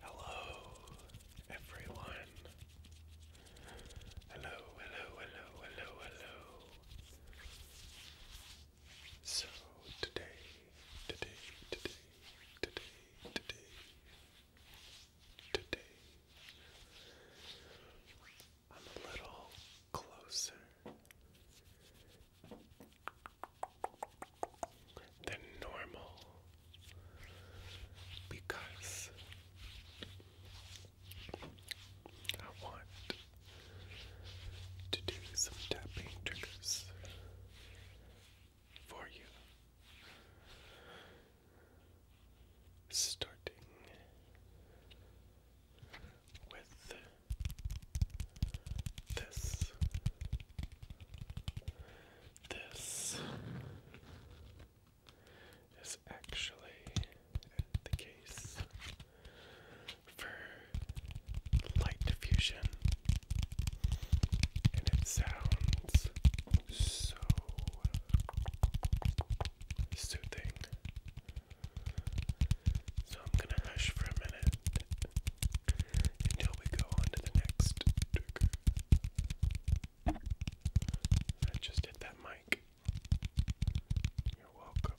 Hello, everyone. Hello, hello, hello, hello, hello. So today, today, today, today, today, today, I'm a little closer than normal because I want to do some tapping triggers for you starting with this, this is actually the case for light diffusion, and it sounds so soothing. So I'm going to hush for a minute until we go on to the next I just hit that mic. You're welcome.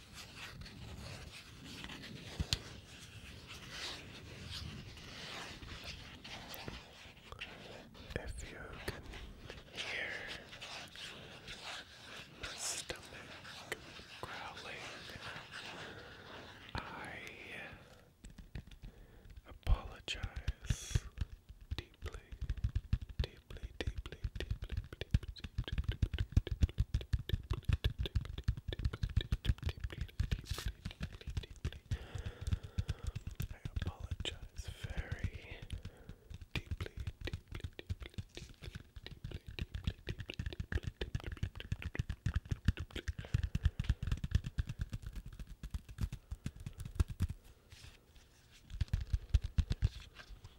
If you can hear my stomach growling, I apologize deeply, deeply, deeply, deeply, deeply, I apologize very deeply, deeply, deeply, deeply, deeply, deeply, deeply, deeply, deeply, deeply. Thank you,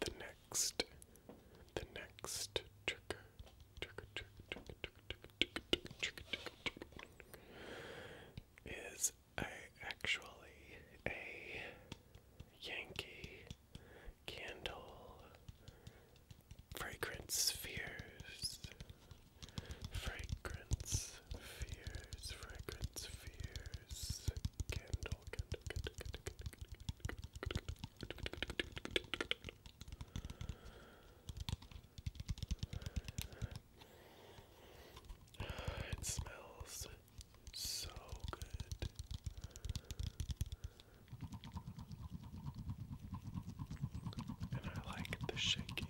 The next, the next trigger, trigger, trigger, trigger, is a, actually a Yankee candle fragrance fears fragrance fears fragrance fears candle. It smells so good. And I like the shaking.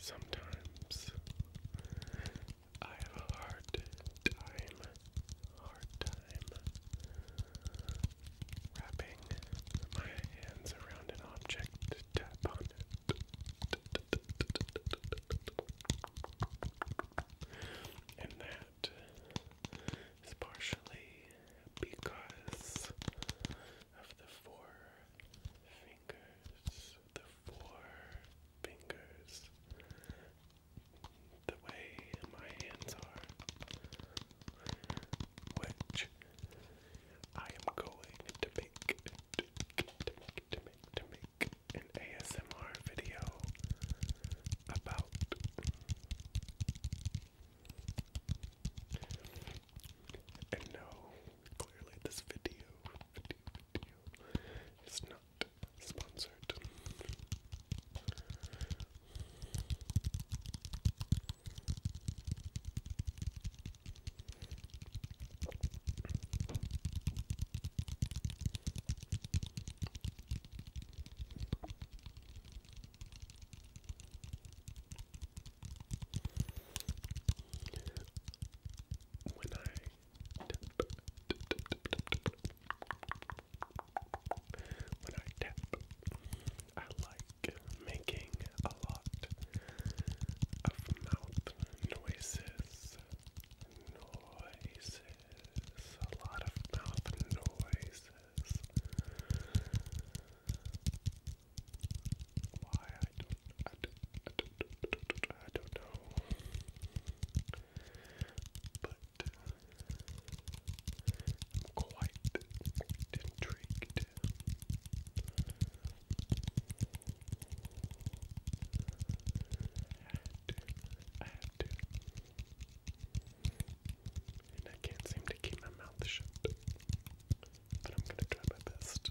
Sometimes I have a hard time, hard time wrapping my hands around an object to tap on it. And that is partially because of the four fingers the four fingers, the way my hands are, which I am going to make, to, make, to make, to make an ASMR video about. And no, clearly this video, video, video is not sponsored. When when I tap, I like making a lot of mouth noises. Noises. A lot of mouth noises. Why I don't know. But I'm quite intrigued. And I can't seem to keep my mouth shut. But I'm gonna try my best.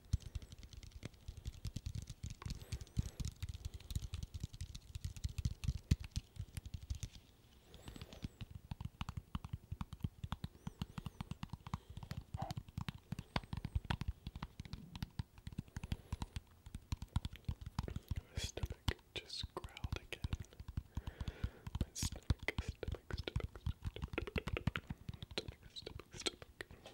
My stomach just growled again. My stomach, stomach, stomach, stomach, stomach, stomach, stomach,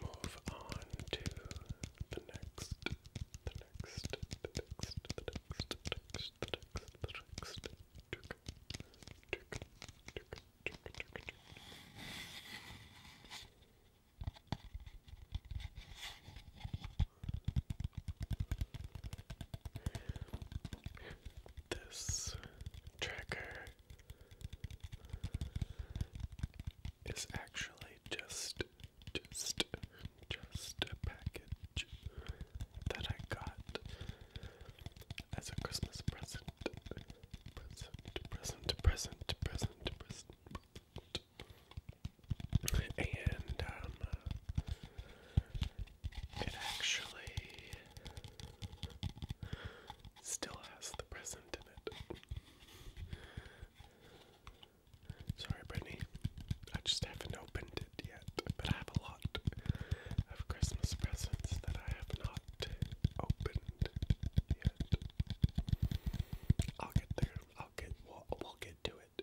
move on to the next, the next, the next, the next, the next, the next, the next, the next. This tracker is actually just, just, just a package that I got as a Christmas present. Present, present, present, present, present. And, um, it actually still has the present in it. Sorry, Brittany. I just haven't opened it yet, but I have a lot of Christmas presents that I have not opened yet. I'll get there. I'll get. We'll, get to it.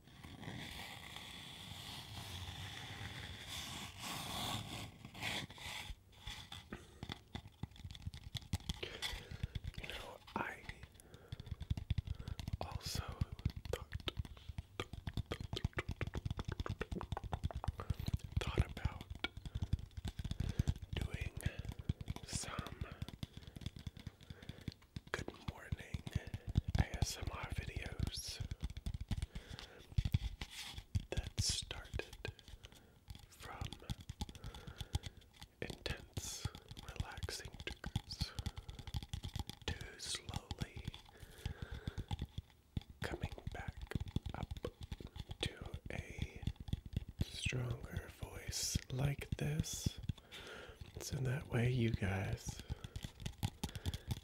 You know, I also thought, thought about doing some good morning ASMR videos that started from intense, relaxing to slowly coming back up to a stronger voice like this. So that way you guys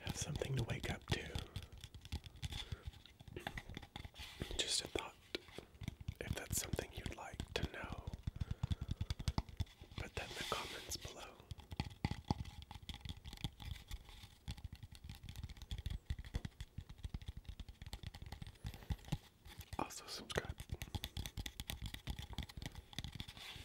have something to wake up to. Just a thought if that's something you'd like to know. Put that in the comments below. Also, subscribe.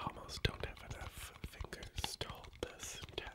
Almost don't have enough fingers to hold this tap.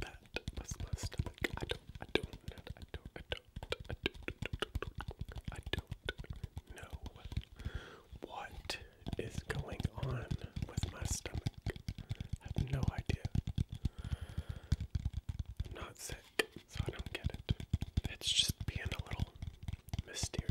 That was my stomach. I don't, I don't, I don't, I don't, I don't, I don't know what is going on with my stomach. I have no idea i not sick, so I don't get it. It's just being a little mysterious.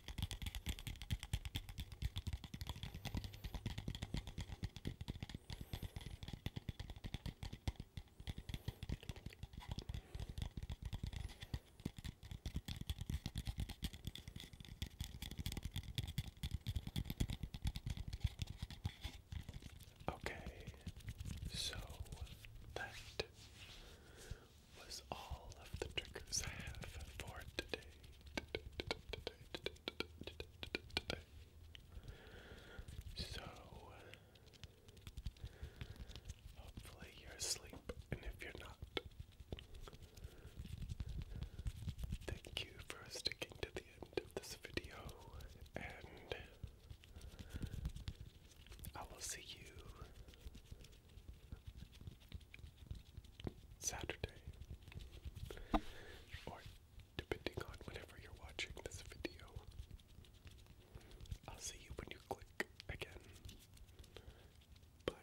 Okay, so that was all of the triggers I have for today. So, hopefully, you're asleep, and if you're not, thank you for sticking to the end of this video, and I will see you Saturday, or depending on whenever you're watching this video. I'll see you when you click again. Bye.